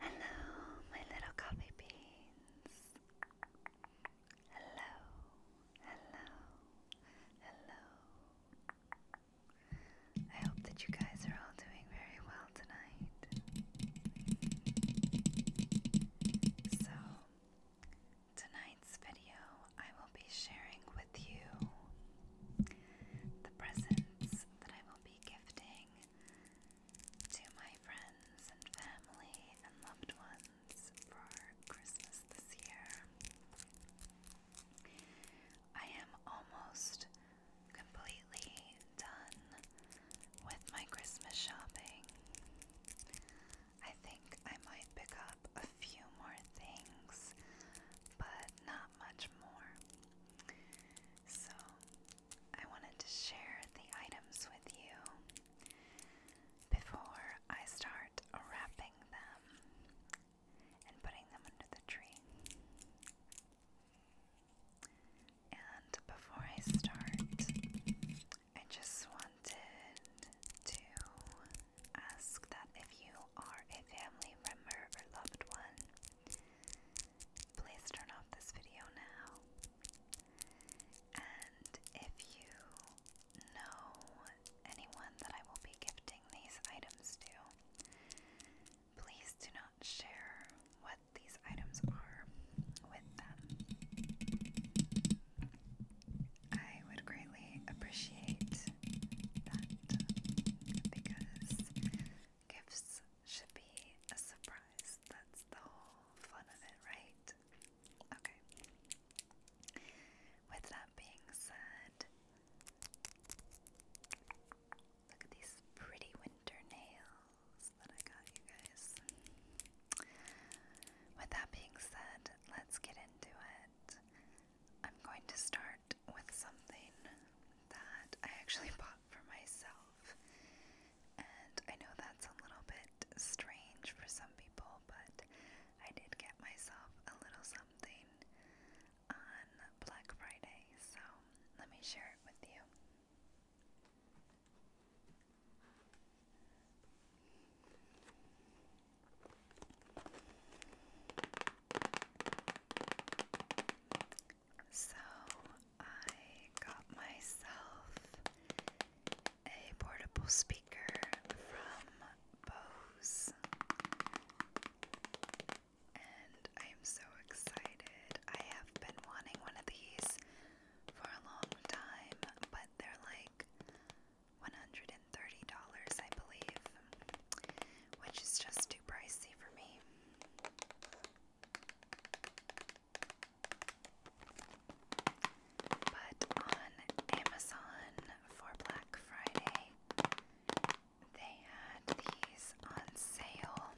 Hello, my little coffee beans. Hello, hello, hello. I hope that you guys are all doing very well tonight. So, tonight's video, I will be sharing with you the presents that I will be gifting to my friends and family and loved ones for Christmas this year. I am almost completely done with my Christmas shopping. I think I might pick up a few more things, but not much more. So, I wanted to share the items with you before I start wrapping them and putting them under the tree. And before I start, I just wanted to ask that if you are a family member loved one, please turn off this video now. And if you know anyone that I will be gifting these items to, please do not share what these items are with them. I would greatly appreciate that because Gifts should be a surprise. That's the whole fun of it, right? Okay. With that being said, look at these pretty winter nails that I got you guys. With that being said, let's get into it. I'm going to start with something that I actually bought shop for myself. And I know that's a little bit strange for some people, but I did get myself a little something on Black Friday, so let me share it with you. So I got myself a portable speaker from Bose. And I am so excited. I have been wanting one of these for a long time, but they're like $130, I believe, which is just too pricey for me. But on Amazon for Black Friday, they had these on sale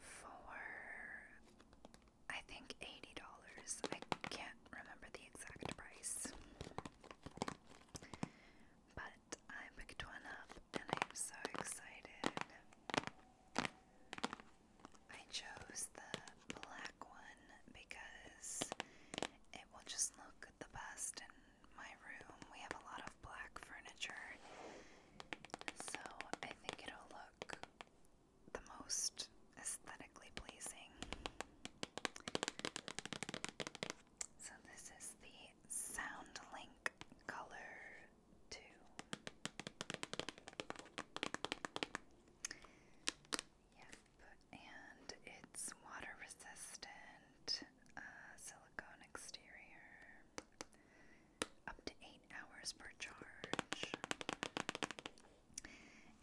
for I think $80. I can't remember the exact price. But I picked one up and I am so excited. I chose the black one because it will just look the best in my room. We have a lot of black furniture, so I think it'll look the most aesthetically pleasing. So, this is the Sound color Yep, and it's water resistant, uh, silicone exterior, up to eight hours per charge.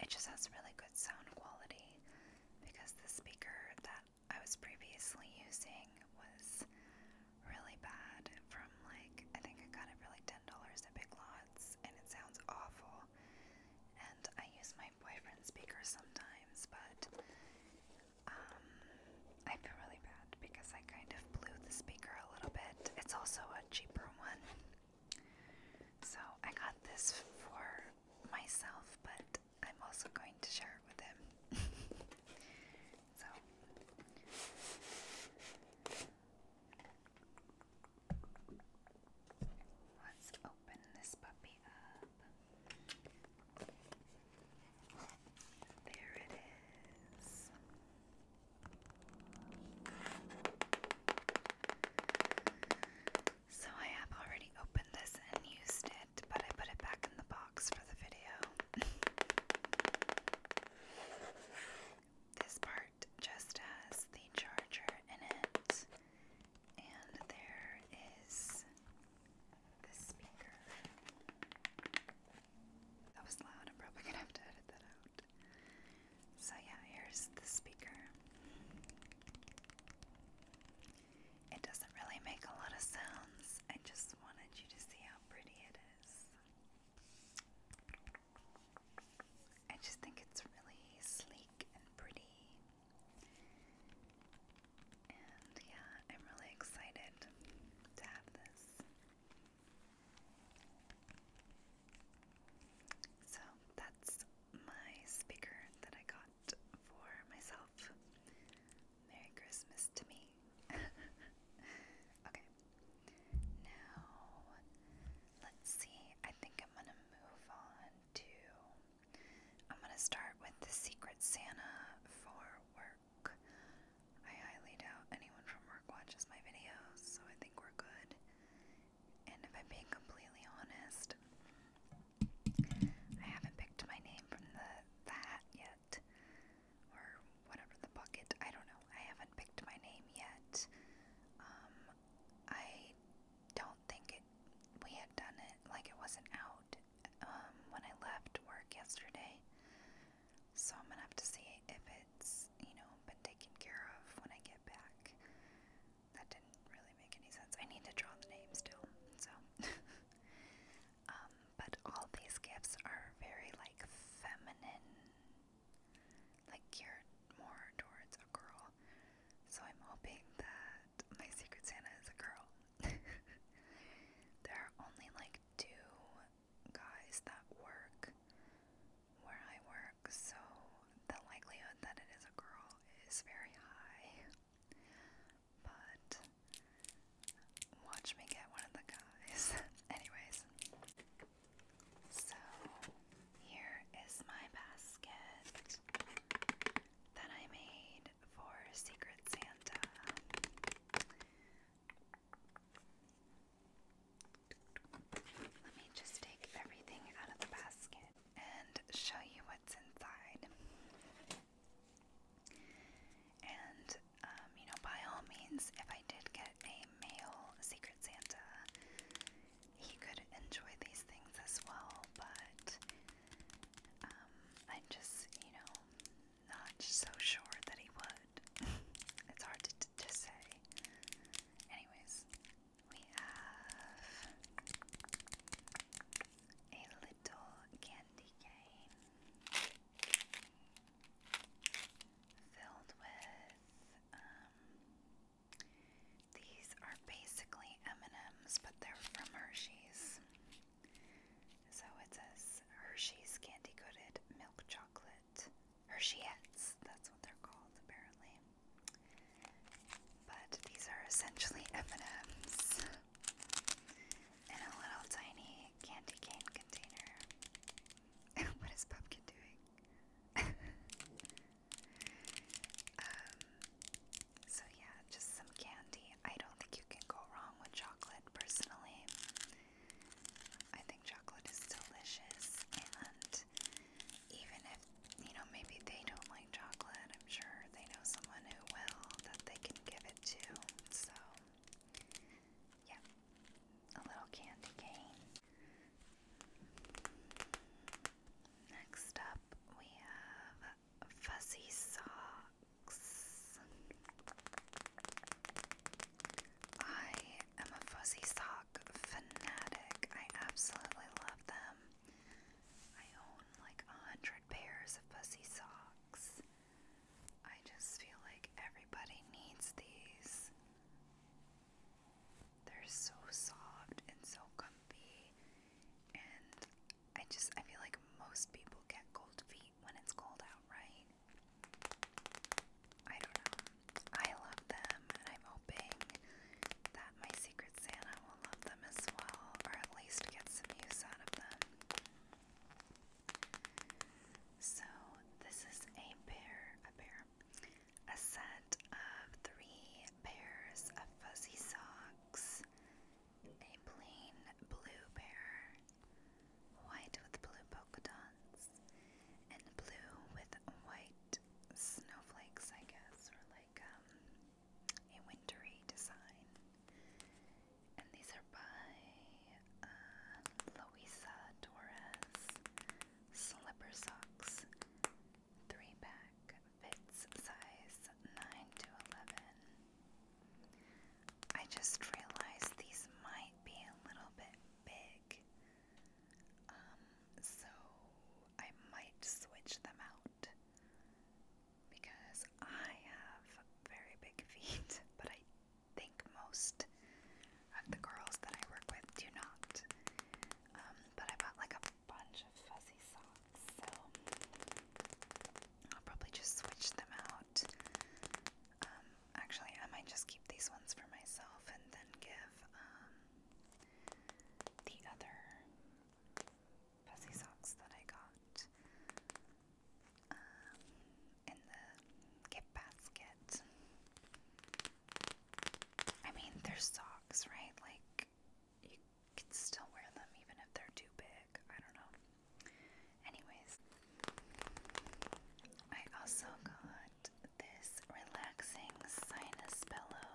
It just has really good sound quality because the speaker that I was previously using was really bad from like I think I got it for like ten dollars at Big Lots and it sounds awful. And I use my boyfriend's speaker sometimes, but um I feel really bad because I kind of blew the speaker a little bit. It's also a cheaper one. So I got this for myself, but I'm also going to share it with him. So let's open this puppy up. There it is. So I have already opened this and used it, but I put it back in the box this part just has the charger in it, and there is the speaker. That was loud, I'm probably gonna have to edit that out. So, yeah, here's the speaker. It doesn't really make a lot of sounds. I just wanted you to see how pretty it I just think it's really sleek and pretty. And yeah, I'm really excited to have this. So that's my speaker that I got for myself Merry Christmas to me. okay. Now, let's see. I think I'm gonna move on to. I'm gonna start with the Secret Santa for work. I highly doubt anyone from work watches my videos, so I think we're good. And if I'm being completely honest, I haven't picked my name from the that yet or whatever the bucket. I don't know. I haven't picked my name yet. Um, I don't think it. We had done it like it wasn't out um, when I left work yesterday. So I'm gonna have to see if it's you know been taken care of when I get back. That didn't really make any sense. I need to draw the name still. So Um, but all these gifts are very like feminine, like geared more towards a girl. So I'm hoping that my Secret Santa is a girl. there are only like two guys that work where I work, so the likelihood that it is a girl is very high but watch me get one of the guys. Anyways, so here is my basket that I made for Secret Santa. Let me just take everything out of the basket and show you what's inside. And, um, you know, by all means, if I did get a male Secret Santa, he could enjoy these things as well, but um, I'm just, you know, not so sure that he would. it's hard to say. Anyways, we have a little candy cane filled with um, these are basically M&Ms, but they're from Hershey's. So it says Hershey's candy coated milk chocolate. Hershey's, that's what they're called apparently. But these are essentially M&Ms in a little tiny candy cane container. what is Pumpkin doing? um, so, yeah, just some candy. I don't think you can go wrong with chocolate personally. I think chocolate is delicious, and even if you know, maybe they don't like chocolate. I'm sure they know someone who will that they can give it to. So, Yep, a little candy cane. Next up, we have fuzzy socks. I am a fuzzy sock fanatic. I absolutely love them. I own like a hundred pairs of fuzzy socks. I just feel like everybody needs these. They're so soft and so comfy. And I just, I feel like most people get cold feet when it's cold out, right? I don't know. I love them, and I'm hoping that my Secret Santa will love them as well, or at least get some use out of them. So this is a pair, a pair, a set of three pairs of fuzzy socks, a plain blue pair, white with blue polka dots, and blue with white snowflakes, I guess, or like um, a wintry design. And these are by uh, Louisa Torres. Slipper socks. Three pack. Fits size 9 to 11. I just realized these might be a little bit big. Um, so I might switch them out because I have very big feet, but I think most of the girls that I work with do not. Um, but I bought like a bunch of fuzzy socks, so I'll probably just switch them out. Um, actually, I might just keep these ones for myself and then give um, the other fuzzy socks that I got um, in the gift basket. I mean, they're socks, right? Like, you can still wear them even if they're too big. I don't know. Anyways, I also got this relaxing sinus pillow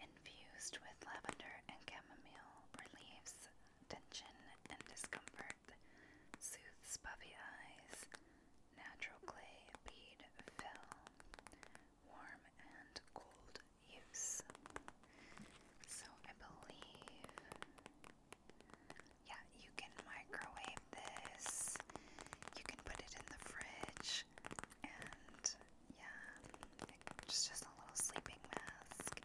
infused with lavender and chamomile reliefs tension and discomfort, soothes puffy eyes, natural clay bead film, warm and cold use. So I believe, yeah, you can microwave this, you can put it in the fridge, and yeah, it's just a little sleeping mask.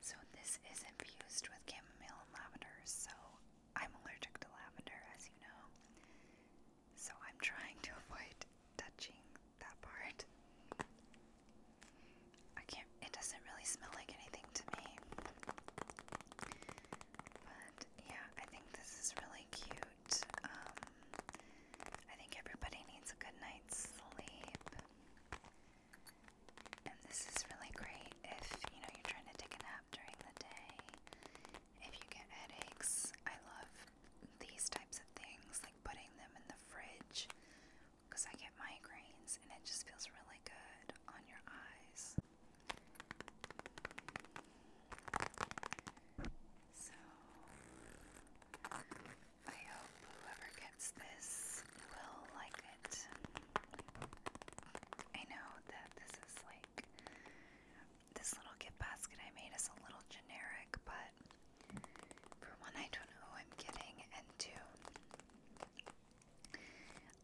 So this is infused with chamomile and lavender. So I'm allergic to lavender, as you know. So I'm trying to avoid touching that part. I can't. It doesn't really smell like anything to me. But yeah, I think this is really cute. Um, I think everybody needs a good night's sleep. And this is really great if you know you're trying to take a nap during the day. If you get headaches, I love these types of things, like putting them in the fridge because I get migraines and it just feels really good on your eyes. So I hope whoever gets this will like it. I know that this is like this little gift basket I made is a little generic, but for one, I don't know who I'm getting, and two,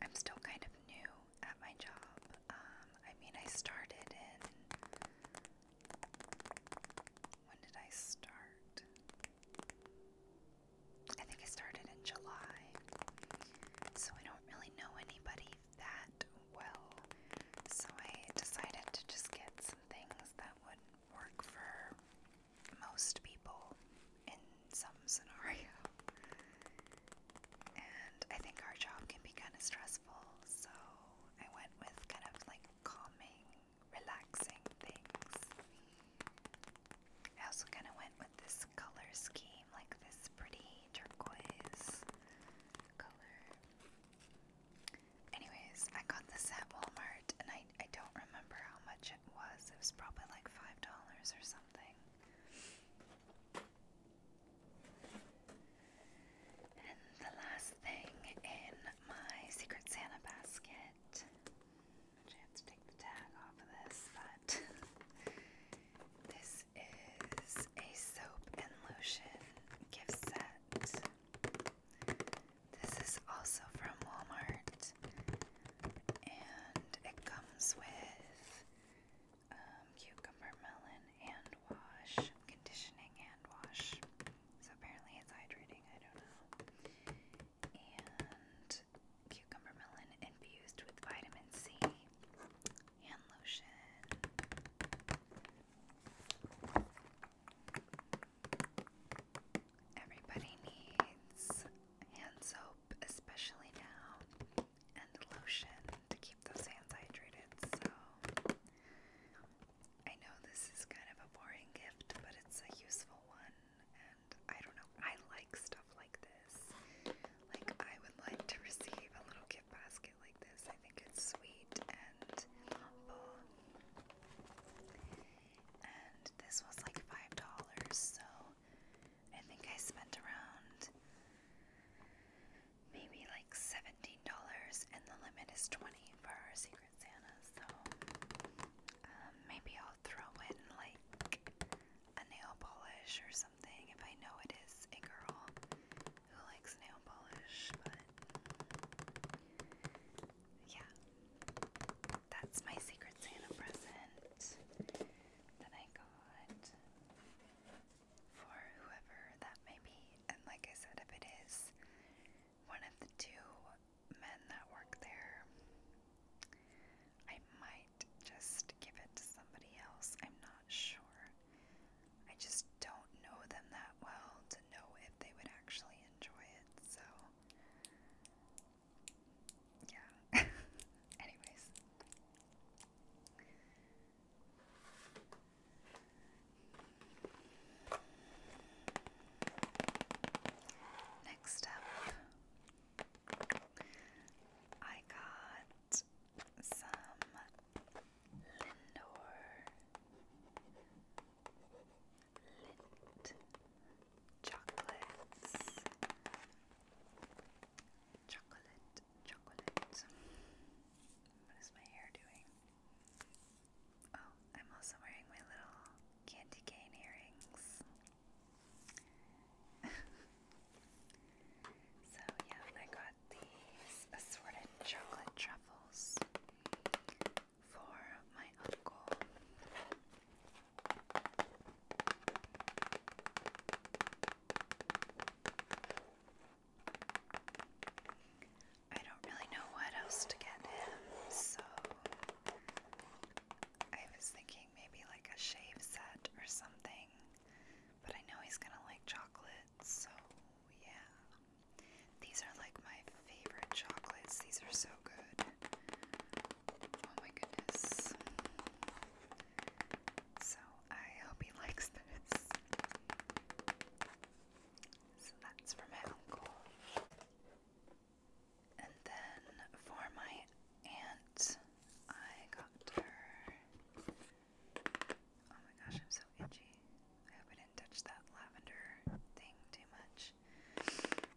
I'm still kind of new at my job. Um, I mean, I started in. When did I start? I think it started in July, so I don't really know anybody that well. So I decided to just get some things that would work for most people in some scenario. And I think our job can be kind of stressful, so I went with kind of like calming relaxing things. I also kind of went with this color scheme, like this pretty turquoise color. Anyways, I got this at Walmart and I, I don't remember how much it was. It was probably like $5 or something. And the last thing in my Secret Santa basket Actually, take the tag off of this, but this is a soap and lotion gift set. This is also from Walmart, and it comes with um, cucumber, melon, hand wash, conditioning hand wash. So apparently it's hydrating. I don't know and cucumber melon infused with vitamin C, hand lotion. Everybody needs hand soap, especially now, and lotion to keep those hands hydrated. So, I know this is kind of a boring gift, but it's a useful one, I don't know, I like stuff like this. Like, I would like to receive a little gift basket like this. I think it's sweet and this was like $5, so I think I spent around maybe like $17, and the limit is 20 for our Secret Santa, so um, maybe throw in like a nail polish or something if I know it is a girl who likes nail polish, yeah. That's my Secret Santa present that I got for whoever that may be. And like I said, if it is one of the two men that work there. I might just give it to somebody else. I'm not sure. I just don't know them that well to know if they would actually enjoy it, so. Yeah. Anyways. Next up, I got some Lindor Lint chocolates. Chocolate, chocolate. What is my hair doing? Oh, I'm also wearing my little candy cane earrings. so, yeah, I got these assorted chocolate truffles for my uncle. I don't really know what else to get him, so I was thinking maybe like a shave set or something, but I know he's gonna like chocolate, so yeah. These are like my favorite chocolates, these are so good. Oh my goodness. So I hope he likes this. So that's for my uncle. And then for my aunt, I got her. Oh my gosh, I'm so itchy. I hope I didn't touch that lavender thing too much.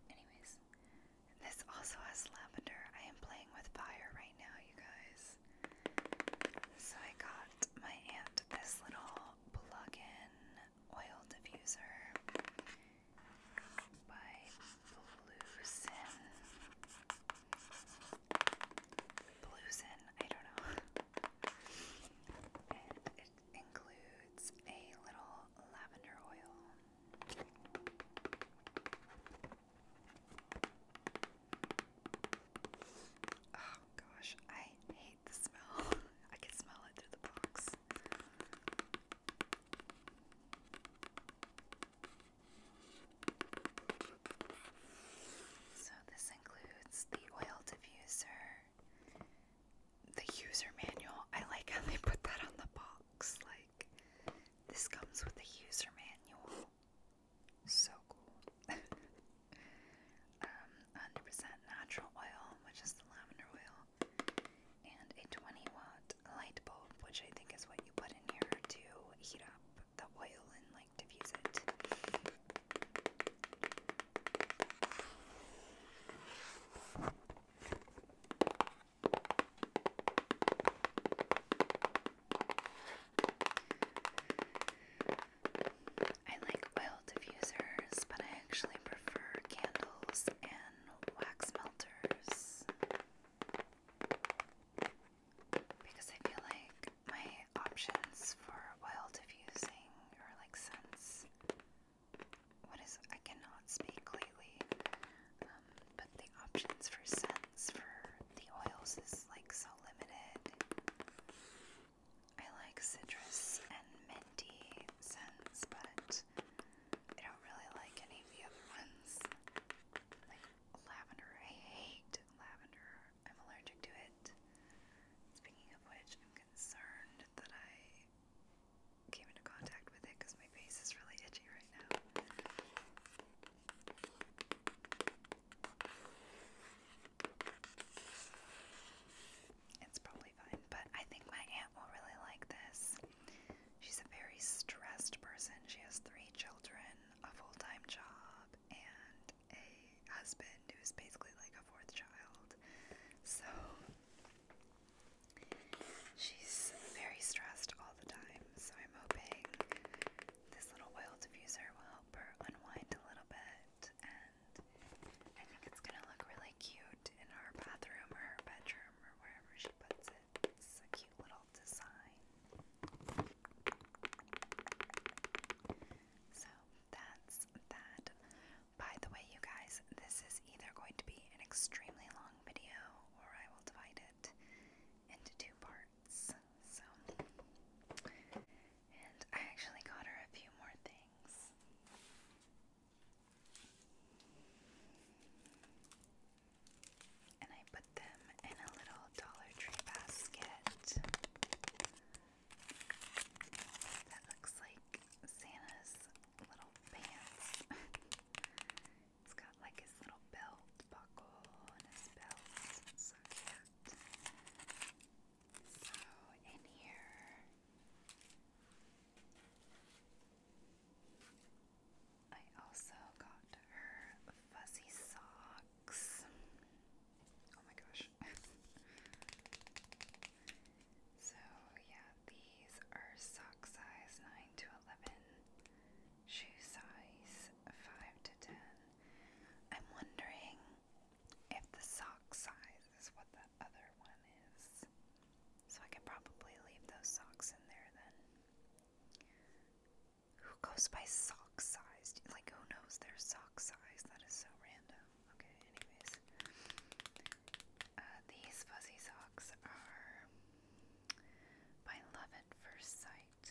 Anyways, this also has lavender. I am playing with fire right now, you guys. So I got my aunt this little plug in oil diffuser by Bluesin. Bluesin, I don't know. and it includes a little lavender oil. Oh gosh, I hate the smell. I can smell it through the box. So, this includes the oil diffuser, the user manual. I like how they put that on the box. Like, this comes with the user manual. So cool. um, 100% natural oil, which is the lavender oil and a 20 watt light bulb, which I think is what you put in here to heat up the oil and like diffuse it. I like oil diffusers, but I actually prefer candles and and wax melters because I feel like my options for oil diffusing or like scents what is I cannot speak lately um, but the options for scents for the oils is like so limited I like citrus and minty scents but I don't really like any of the other ones. Like lavender, I hate lavender. I'm allergic to it. Speaking of which, I'm concerned that I came into contact with it because my face is really itchy right now. It's probably fine, but I think my aunt will really like this. She's a very stressed person. She has three children, a full time job, and a husband who's basically like a fourth child. So she's very stressed all the time. So I'm hoping this little oil diffuser will help her unwind a little bit, and I think it's gonna look really cute in her bathroom or her bedroom or wherever she puts it. It's a cute little design. So that's that. By the way, you guys, this is either going to be an extremely long video or I will divide it into two parts. So, and I actually got her a few more things. And I put them in a little Dollar Tree basket. That looks like Santa's little pants. it's got like his little belt buckle and his belt. so cute. So in here I also got her fuzzy socks. Oh my gosh. so, yeah, these are sock size 9 to 11, shoe size 5 to 10. I'm wondering if the sock size is what the other one is. So I could probably leave those socks in there then. Who goes by sock size? Like, who knows their sock size? That is so random. Okay, anyways. Uh, these fuzzy socks are by Love at First Sight.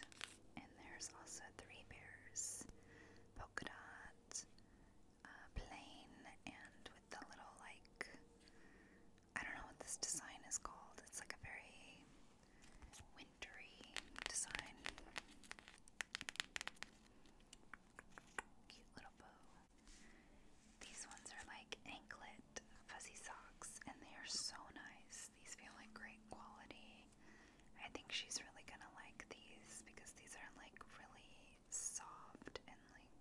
And there's also three bears polka dot uh, plain and with the little like I don't know what this design is called. It's like a very wintry design. Cute little bow. These ones are like anklet fuzzy socks and they are so nice. These feel like great quality. I think she's really gonna like these because these are like really soft and like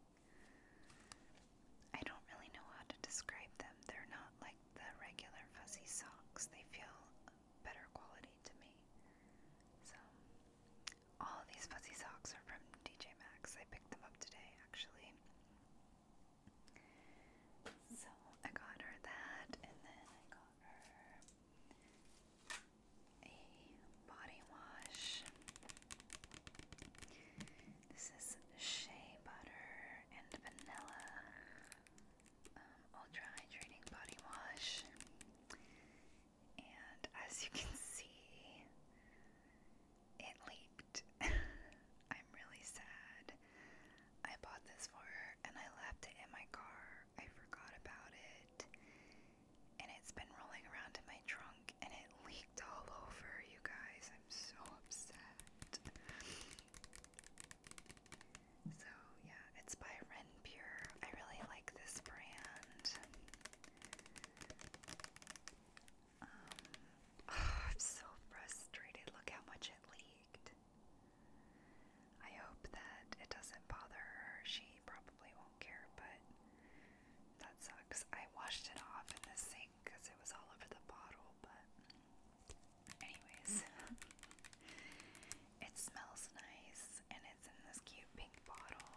I don't really know how to describe them. They're not like the regular fuzzy socks. They feel better quality to me. So, all these fuzzy socks are from DJ Maxx. I picked them up today, actually. So, I got her that, and then I got her a body wash. This is shea butter and vanilla um, ultra hydrating body wash. And as you can see, it leaked. I'm really sad. I bought this for her and I left it in my car. I forgot about it. And it's been rolling around in my trunk and it leaked all over you guys. I'm so upset. So yeah, it's by Renpure. I really like this brand. Um, oh, I'm so frustrated. Look how much it leaked. I hope that it doesn't bother her. She probably won't care, but that sucks. I washed it off in the sink because it was all over the bottle, but anyways, it smells nice and it's in this cute pink bottle.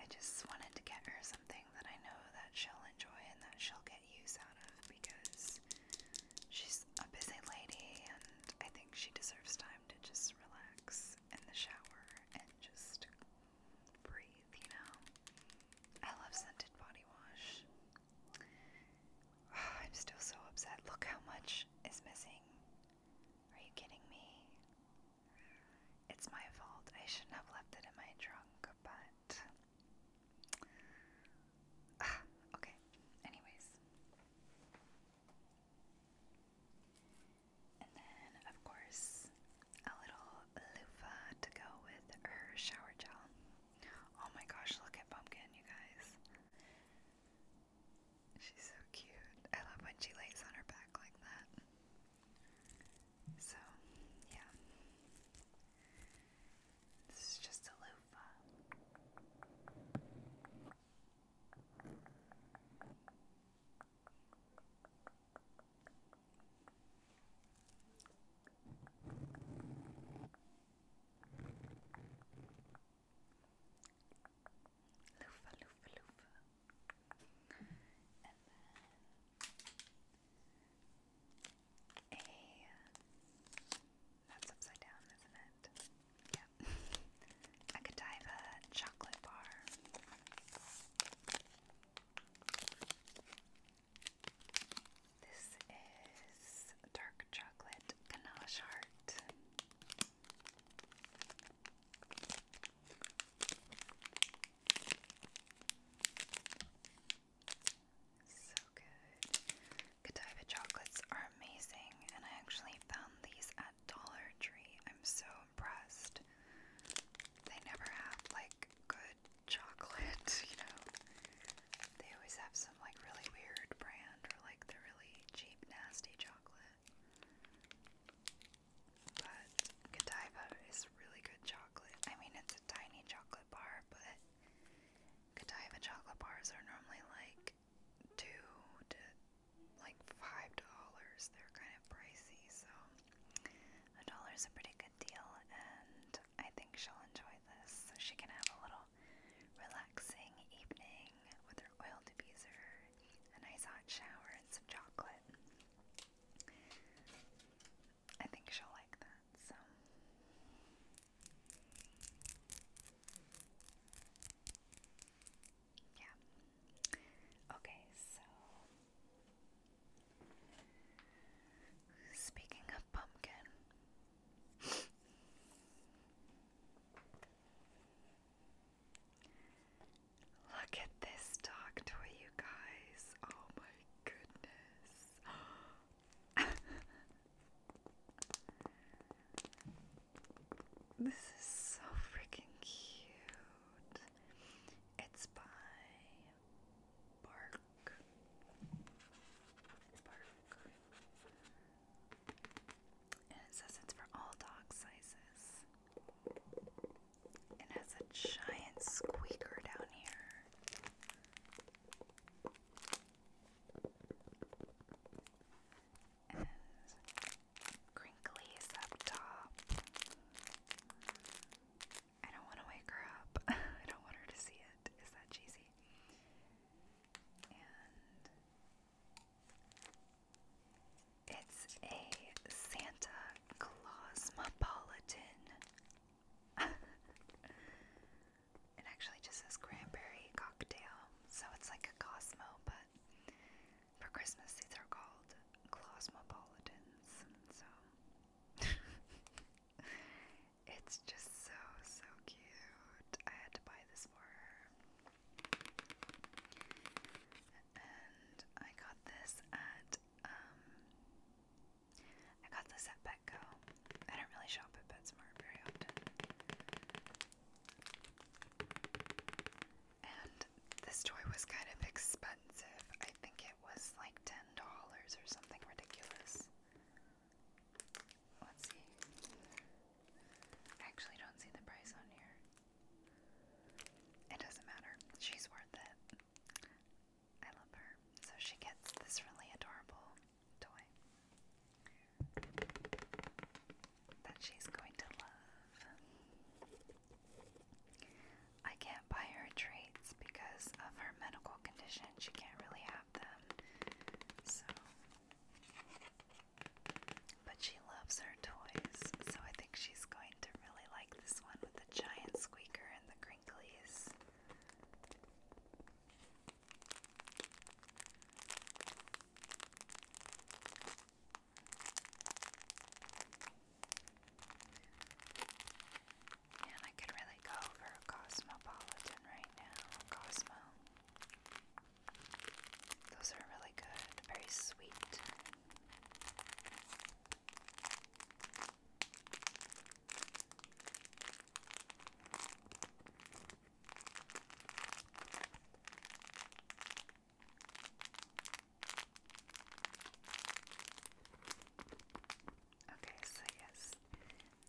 I just wanted to get her something that I know that she'll enjoy and that she'll get use out of because she's a busy lady and I think she deserves time to just relax in the shower and just breathe, you know? I love scented body wash. I'm still so upset. Look how much is missing. Are you kidding me? It's my fault. I shouldn't have left it in my trunk, but. okay. Anyways. And then, of course, a little loofah to go with her shower gel. Oh my gosh, look at Pumpkin, you guys. She's so cute. I love when she lays on her back like that. So, yeah. This is just a loofah. Loofah, loofah, loofah. And then a that's upside down, isn't it? Yeah. a Godiva chocolate bar. This is dark chocolate ganache heart. So good. Godiva chocolates are amazing, and I actually found these at Dollar Tree. I'm so impressed. They never have like good chocolate, you know. They always have some like really weird brand or like the really cheap, nasty chocolate. But Godiva is really good chocolate. I mean, it's a tiny chocolate bar, but Godiva chocolate bars are normally like two to like five dollars. They're kind of pricey, so a dollar is a pretty good deal, and I think she'll enjoy this. So she can have a little relaxing evening with her oil diffuser, a nice hot shower, and some chocolate. I think she'll like that. So. Yeah. Okay, so speaking of pumpkin. Look at this dog toy, you guys. Oh my goodness. this is so freaking cute. It's by Bark. Bark. And it says it's for all dog sizes. It has a giant squeaker down here is crinklies up top. I don't want to wake her up. I don't want her to see it. Is that cheesy? And it's a Santa Clausmopolitan. it actually just says cranberry cocktail, so it's like a Cosmo, but for Christmas these are called Cosmopolitans. So it's just so so cute. I had to buy this for her. And I got this at um, I got this at Petco. I don't really shop at PetSmart very often. And this toy was kind of expensive. I think it was like $10 or something ridiculous. Let's see. actually don't see the price on here. It doesn't matter. She's worth it. I love her. So she gets this really adorable toy that she's going to love. I can't buy her treats because of her medical condition. She can't really have them. So but she loves her toys, so I think she's going to really like this one with the giant squeaker and the crinklies. Man, I could really go for a Cosmopolitan right now. Cosmo. Those are really good, very sweet. Okay, so yes,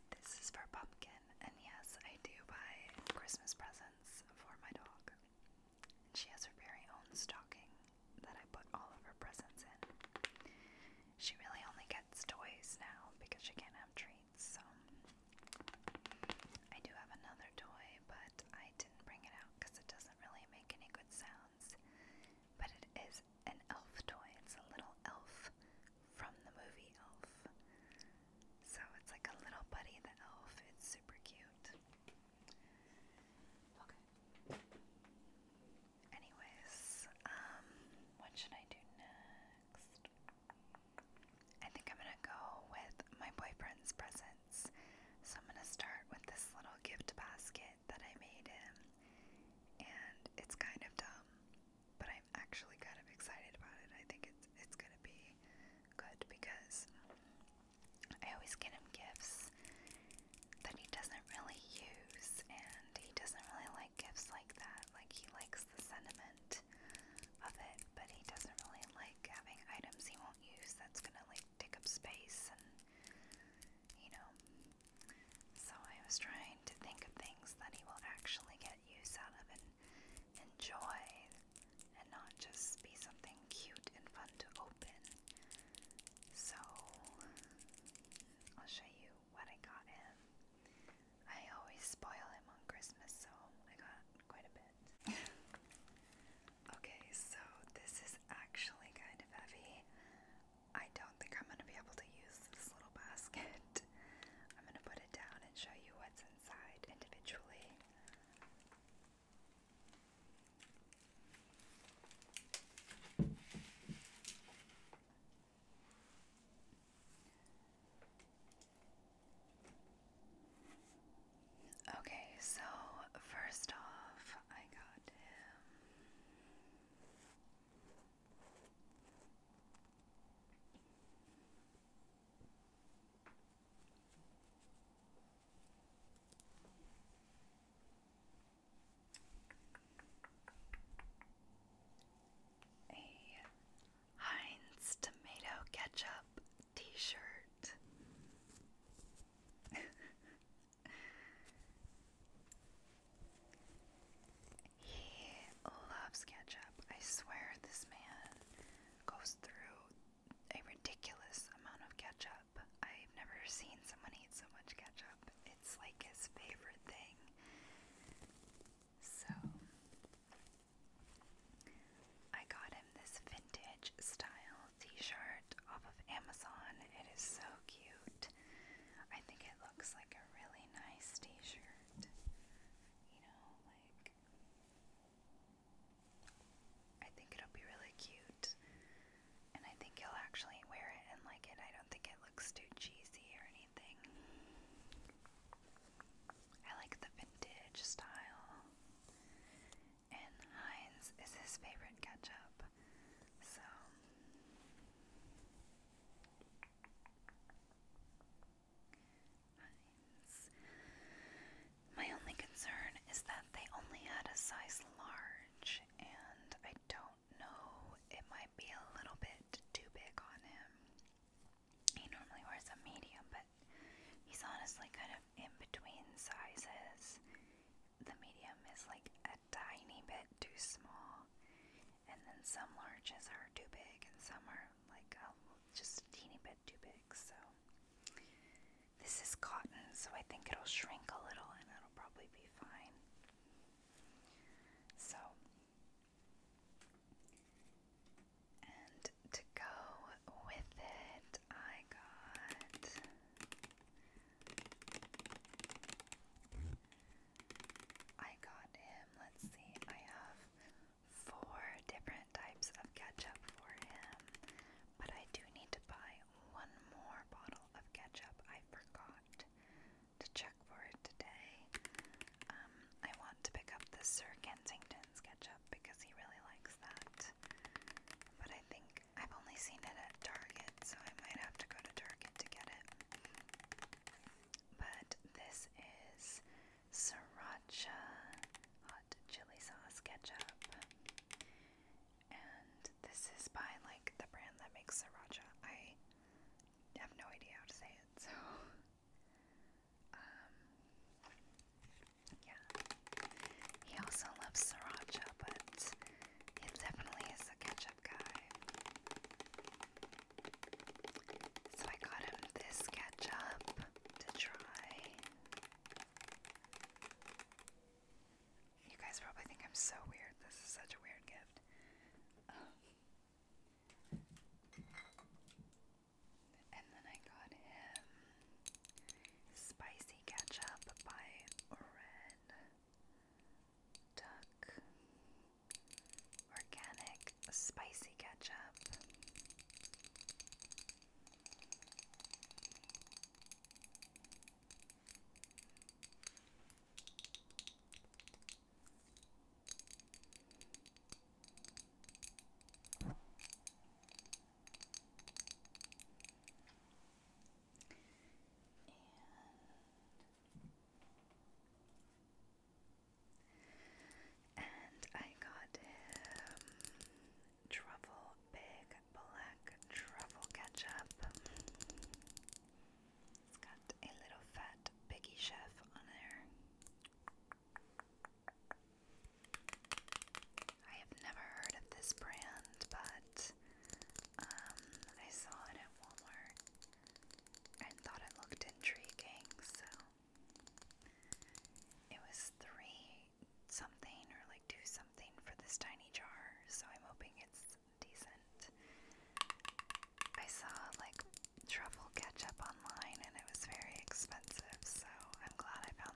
this is for Pumpkin, and yes, I do buy Christmas presents for my dog. she has her very own stocking that I put all of her presents in. She really only gets toys now because she can't have treats, so I do have another toy, but I didn't bring it out because it doesn't really make any good sounds. But it is an elf toy. It's a little elf from the movie Elf. So it's like a little Buddy the Elf. It's super cute. Okay. Anyways, um, what should I do next? I think I'm gonna go with my boyfriend's present balance. So I'm going to start with this little gift basket that I made him. And it's kind of dumb, but I'm actually kind of excited about it. I think it's it's going to be good because I always get him gifts that he doesn't really use and he doesn't really like gifts like that. Like he likes the sentiment of it, but he doesn't really like having items he won't don't use that's gonna like take up space and you know. So I was trying to think of things that he will actually get use out of and enjoy and not just be something cute and fun to open. So I'll show you what I got him. I always spoil him on Christmas, so I got quite a bit. Okay, so this is actually kind of heavy. I don't think I'm going to be able to use this little basket. I'm going to put it down and show you what's inside individually. Okay, so first off, I got A Heinz tomato ketchup t shirt he loves ketchup. I swear this man goes through a ridiculous amount of ketchup. I've never seen someone eat so much ketchup. It's like his favorite thing. So I got him this vintage style t-shirt off of Amazon. It is so cute. I think it looks like a really nice t-shirt. You know, like I think it'll be really cute. And I think he'll actually wear it and like it. I don't think it looks too cheesy or anything. I like the vintage style and Heinz is his favorite ketchup. So My only concern is that they only had a size large, and I don't know, it might be a little bit too big on him. He normally wears a medium, but he's honestly kind of in between sizes. The medium is like a tiny bit too small, and then some larges are too big, and some are like just a teeny bit too big. So, this is cotton, so I think it'll shrink a little and it'll probably be fine. So, and to go with it, I got I got him. Let's see. I have four different types of ketchup for him, but I do need to buy one more bottle of ketchup. I forgot to check for it today. Um, I want to pick up the Sir Kensington's ketchup because he really likes that. But I think I've only seen it at Target, so I might have to go to Target to get it. But this is sriracha hot chili sauce ketchup. And this is by like the brand that makes sriracha. I have no idea how to say it, so um, yeah. He also loves sriracha, but he definitely is a ketchup guy. So I got him this ketchup to try. You guys probably think I'm so weird. This is such a weird gift. Um, and then I got him Spicy Ketchup by Red Duck. Organic Spicy Ketchup. And, and I got him truffle, big black truffle ketchup. It's got a little fat Biggie Chef on there. I have never heard of this brand, but um, I saw it at Walmart and thought it looked intriguing, so it was three something or like two something for this tiny jar, so I'm hoping it's decent. I saw like truffle ketchup online and it was very expensive, so I'm glad I found on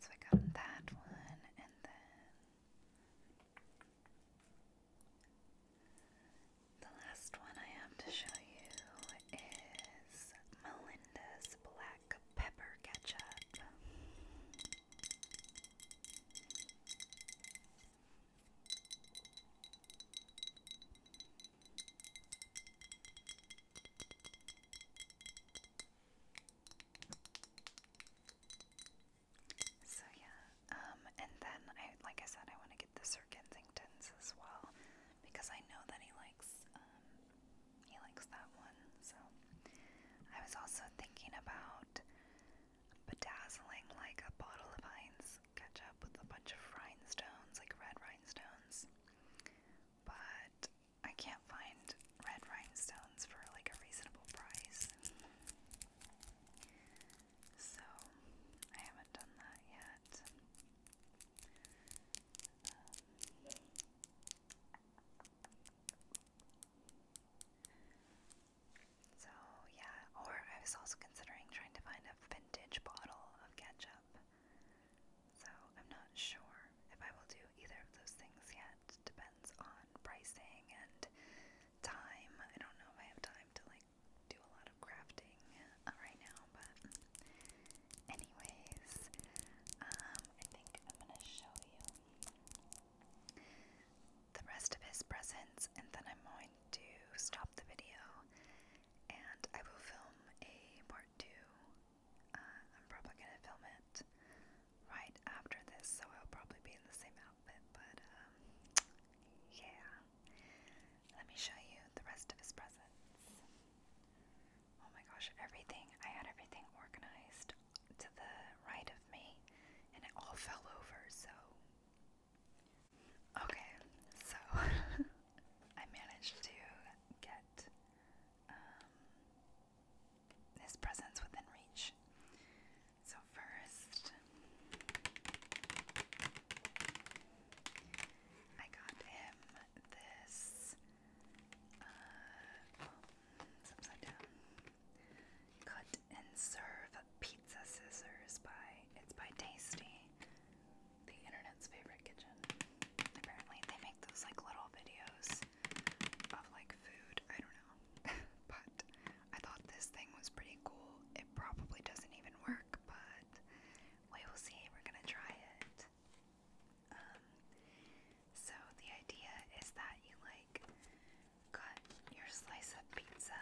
So I got that one, and then the last one I have to show you is Melinda's Black Pepper Ketchup. So yeah, um, and then I, like I said, I want to get the Sir Kensingtons as well because I know that he likes, um, he likes that one. So I was also thinking about bedazzling like a bottle of Heinz ketchup with a bunch of rhinestones, like red rhinestones. But I can't find red rhinestones for like a reasonable price. So I haven't done that yet. Um, so, yeah, or I was also considering trying to find a vintage bottle of ketchup. So, I'm not sure if I will do either of those things yet. Depends on pricing and time. I don't know if I have time to like do a lot of crafting uh, right now, but anyways, um I think I'm going to show you the rest of his presents, and then I'm going to stop the video and I will film a part two. Uh, I'm probably going to film it right after this, so I'll probably be in the same outfit, but um, yeah. Let me show you the rest of his presents. Oh my gosh, everything. I had everything organized to the right of me and it all fell over, so. Okay, so I managed to get um, his presence within reach. So, first, I got him this. Uh, upside down. Cut and serve pizza scissors by it's by Tasty, the internet's favorite kitchen. Apparently they make those like little videos of like food. I don't know. but I thought this thing was pretty cool. It probably doesn't even work, but we will see. We're gonna try it. Um, so the idea is that you like cut your slice of pizza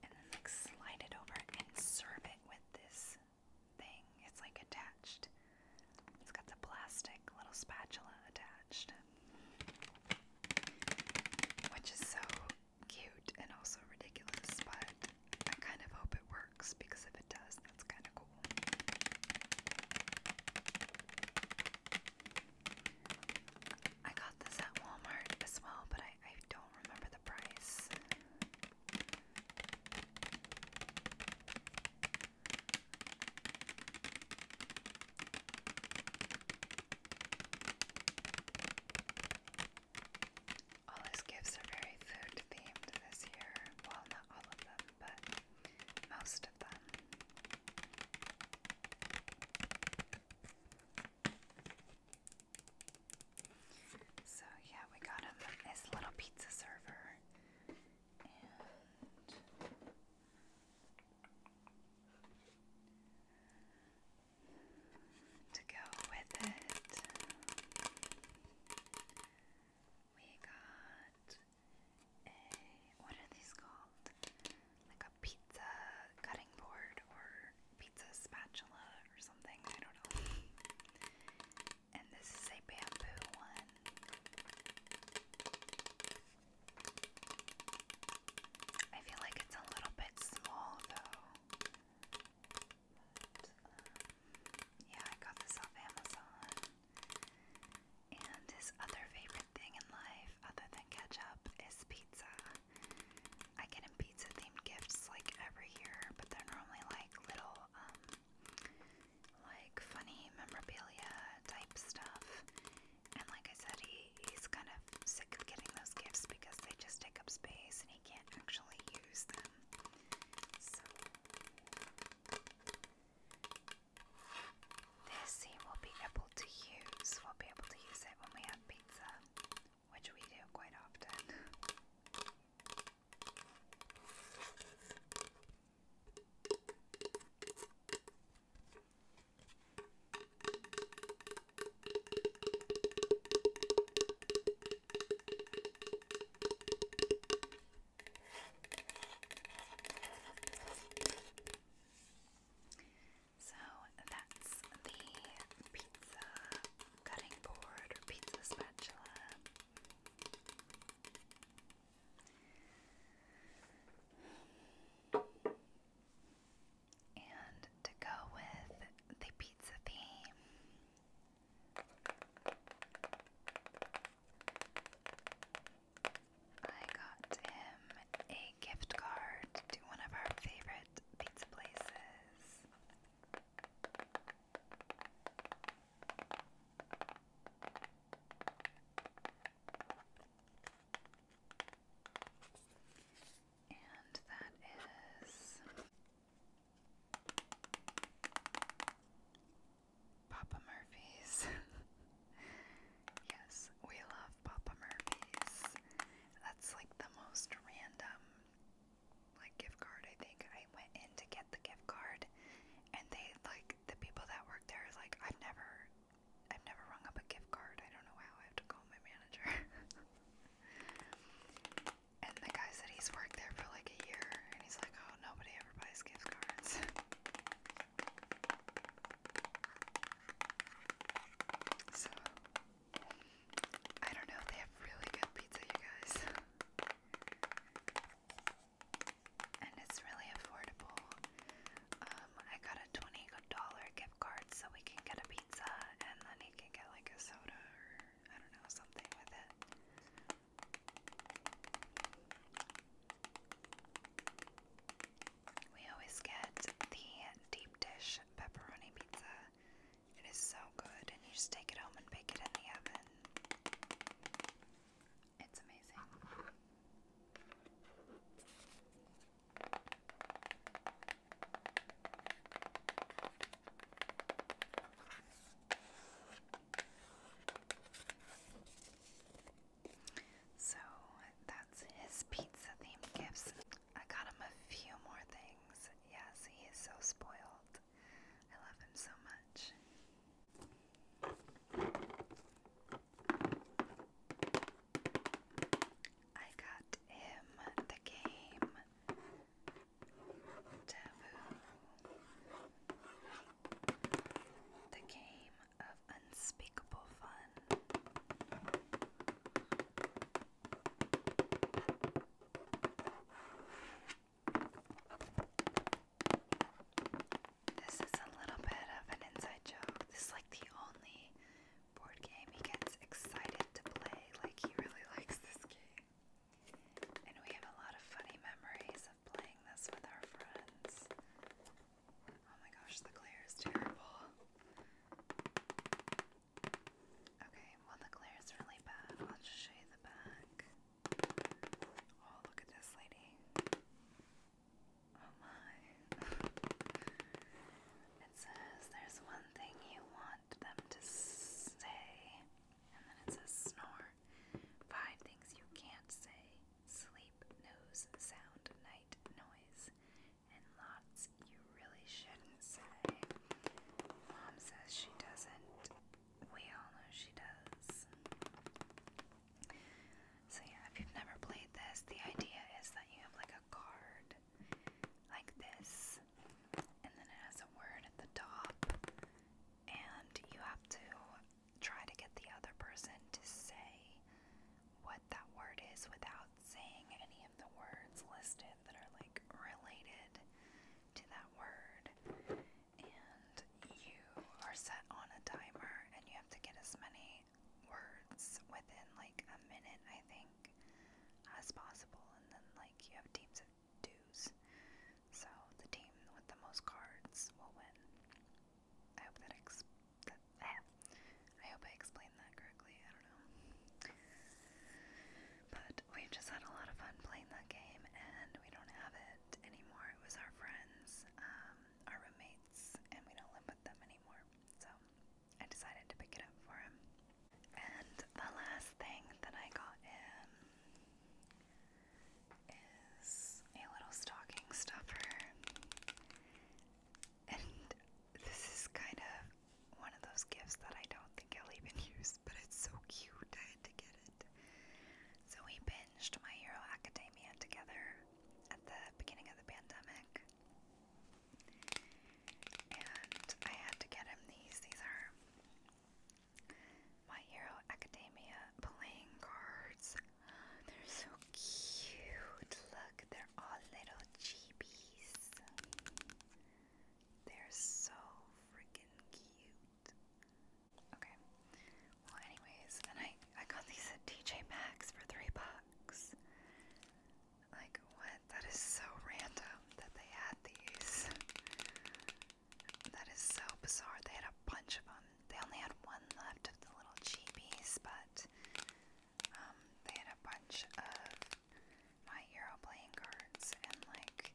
and then like slide it over and serve it with this thing. It's like attached. It's got the plastic little spatula attached. Which is so cute and also ridiculous, but I kind of hope it works because if it does, that's kind of cool. I got this at Walmart as well, but I, don't remember the price. All his gifts are very food themed this year. Well, not all of them, but most of them. So, yeah, we got him little pizza server. And to go with it, we got Eh, what are these called? Like a pizza cutting board or pizza spatula or something. I don't know. And this is a bamboo one. I feel like it's a little bit small though. Um, yeah, I got this off Amazon. And his other favorite thing in life, other than ketchup, is pizza. I get him pizza themed gifts like every year, but they're normally like little, um, like funny memorabilia type stuff. And like I said, he, he's kind of sick of getting those gifts because they just take up space and he can't actually use them. So this seam will be able to use, we'll be able to use it when we have pizza, which we do quite often. So that's the pizza cutting board or pizza spatula. And to go with the pizza theme, I got him a gift card to one of our favorite pizza places. And that is Papa Murphy's. yes, we love Papa Murphy's. That's like the most random like gift card I think. I went in to get the gift card and they like the people that work there is like I've never I've never rung up a gift card. I don't know how I have to call my manager. and the guy said he's worked there for like a year and he's like, Oh nobody ever buys gift cards So, I don't know, they have really good pizza, you guys. And it's really affordable. Um, I got a $20 gift card so we can get a pizza and then you can get like a soda or I don't know, something with it. We always get the deep dish pepperoni pizza. It is so good, and you just take it home and bake it in the oven. It's amazing. So that's his pizza themed gifts. I got him a few more things. Yes, he is so spoiled. I love him so much. I got him the game The game of unspeakable fun. This is a little bit of an inside joke. This is like the only board game he gets excited to play. Like, he really likes this game. And we have a lot of funny memories playing this with our friends. Oh my gosh, the glare is terrible. Okay, well, the glare is really bad. I'll show you the back. Oh, look at this lady. Oh my. it says there's one thing you want them to say, and then it says snore. Five things you can't say sleep, nose, sound, night, noise, and lots you really shouldn't say. Mom says she doesn't. We all know she does. So, yeah, if you've never played this, the idea is that you have like a card like this, and then it has a word at the top, and you have to try to get the other person to say what that word is without saying any of the words listed that are like related to that word. And you are set on a timer and you have to get as many words within like a minute, I think, as possible. And then, like, you have teams of twos. So the team with the most cards will win. I hope that, ex that eh, I hope I explained that correctly. I don't know. But we just had a lot of fun playing that game, and we don't have it anymore. It was our friends, um, our roommates, and we don't live with them anymore. So I decided to pick it up for him. And the last thing that I got him is a little stocking stuffer. And this is kind of one of those gifts that I don't think I'll even use, but it's so cute. I had to get it. So we binged My Hero Academia together at the beginning of the pandemic. And I had to get him these. These are my Hero Academia playing cards. They're so cute. Look, they're all little chibis. They're so freaking cute. Okay. Well, anyways, and I I got these at TJ Maxx for three bucks. Like what? That is so random that they had these. That is so bizarre. They had a bunch of them they only had one left of the little cheapies, but um, they had a bunch of My Hero playing and like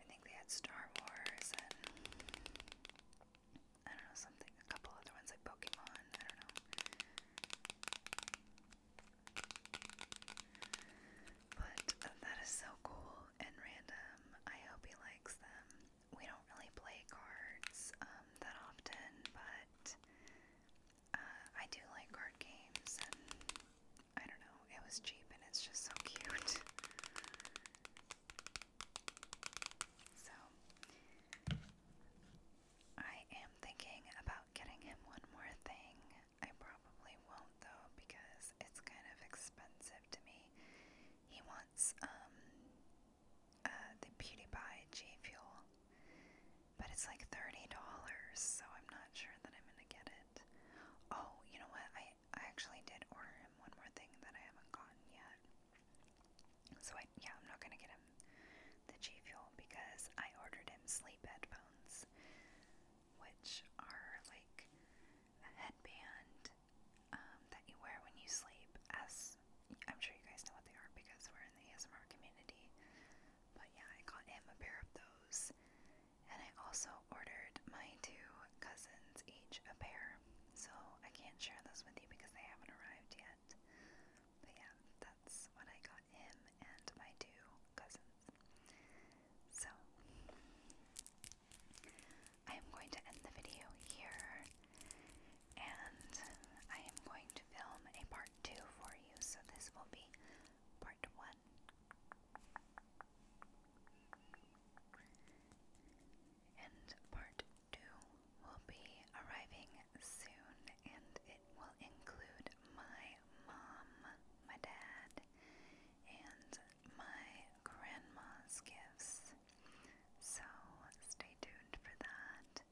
I think they had Star Wars and I don't know something, a couple other ones like Pokemon. I don't know. But uh, that is so cool and random. I hope he likes them we don't really play cards um, that often, but uh, I do like card games, I don't know, it was cheap and it's just so cute. So, I am thinking about getting him one more thing. I probably won't though because it's kind of expensive to me. He wants wants um, uh, the PewDiePie G Fuel, but it's like $30, so I'm not sure that I'm gonna get it. Oh, you know what? I, I actually did order him one more thing that I haven't gotten yet. So I, yeah, I'm not gonna get him the J Fuel because I ordered him sleep headphones, which are like a headband um, that you wear when you sleep. As I'm sure you guys know what they are because we're in the ASMR community. But yeah, I got him a pair of those, and I also ordered my two cousins each a pair. So I can't share those with you because they haven't arrived yet. But yeah, that's what I got him and my two cousins. So I am going to end the video here, and I am going to film a part two for you. So this will be part one. And part two will be arriving soon, and it will include my mom, my dad, and my grandma's gifts. So stay tuned for that.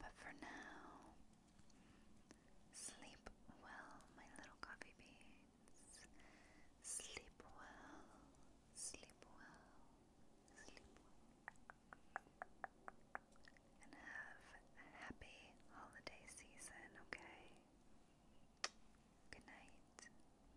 But for now, sleep well, my little coffee beans. Sleep well, sleep well, sleep well. And have a happy holiday season, okay? Good night.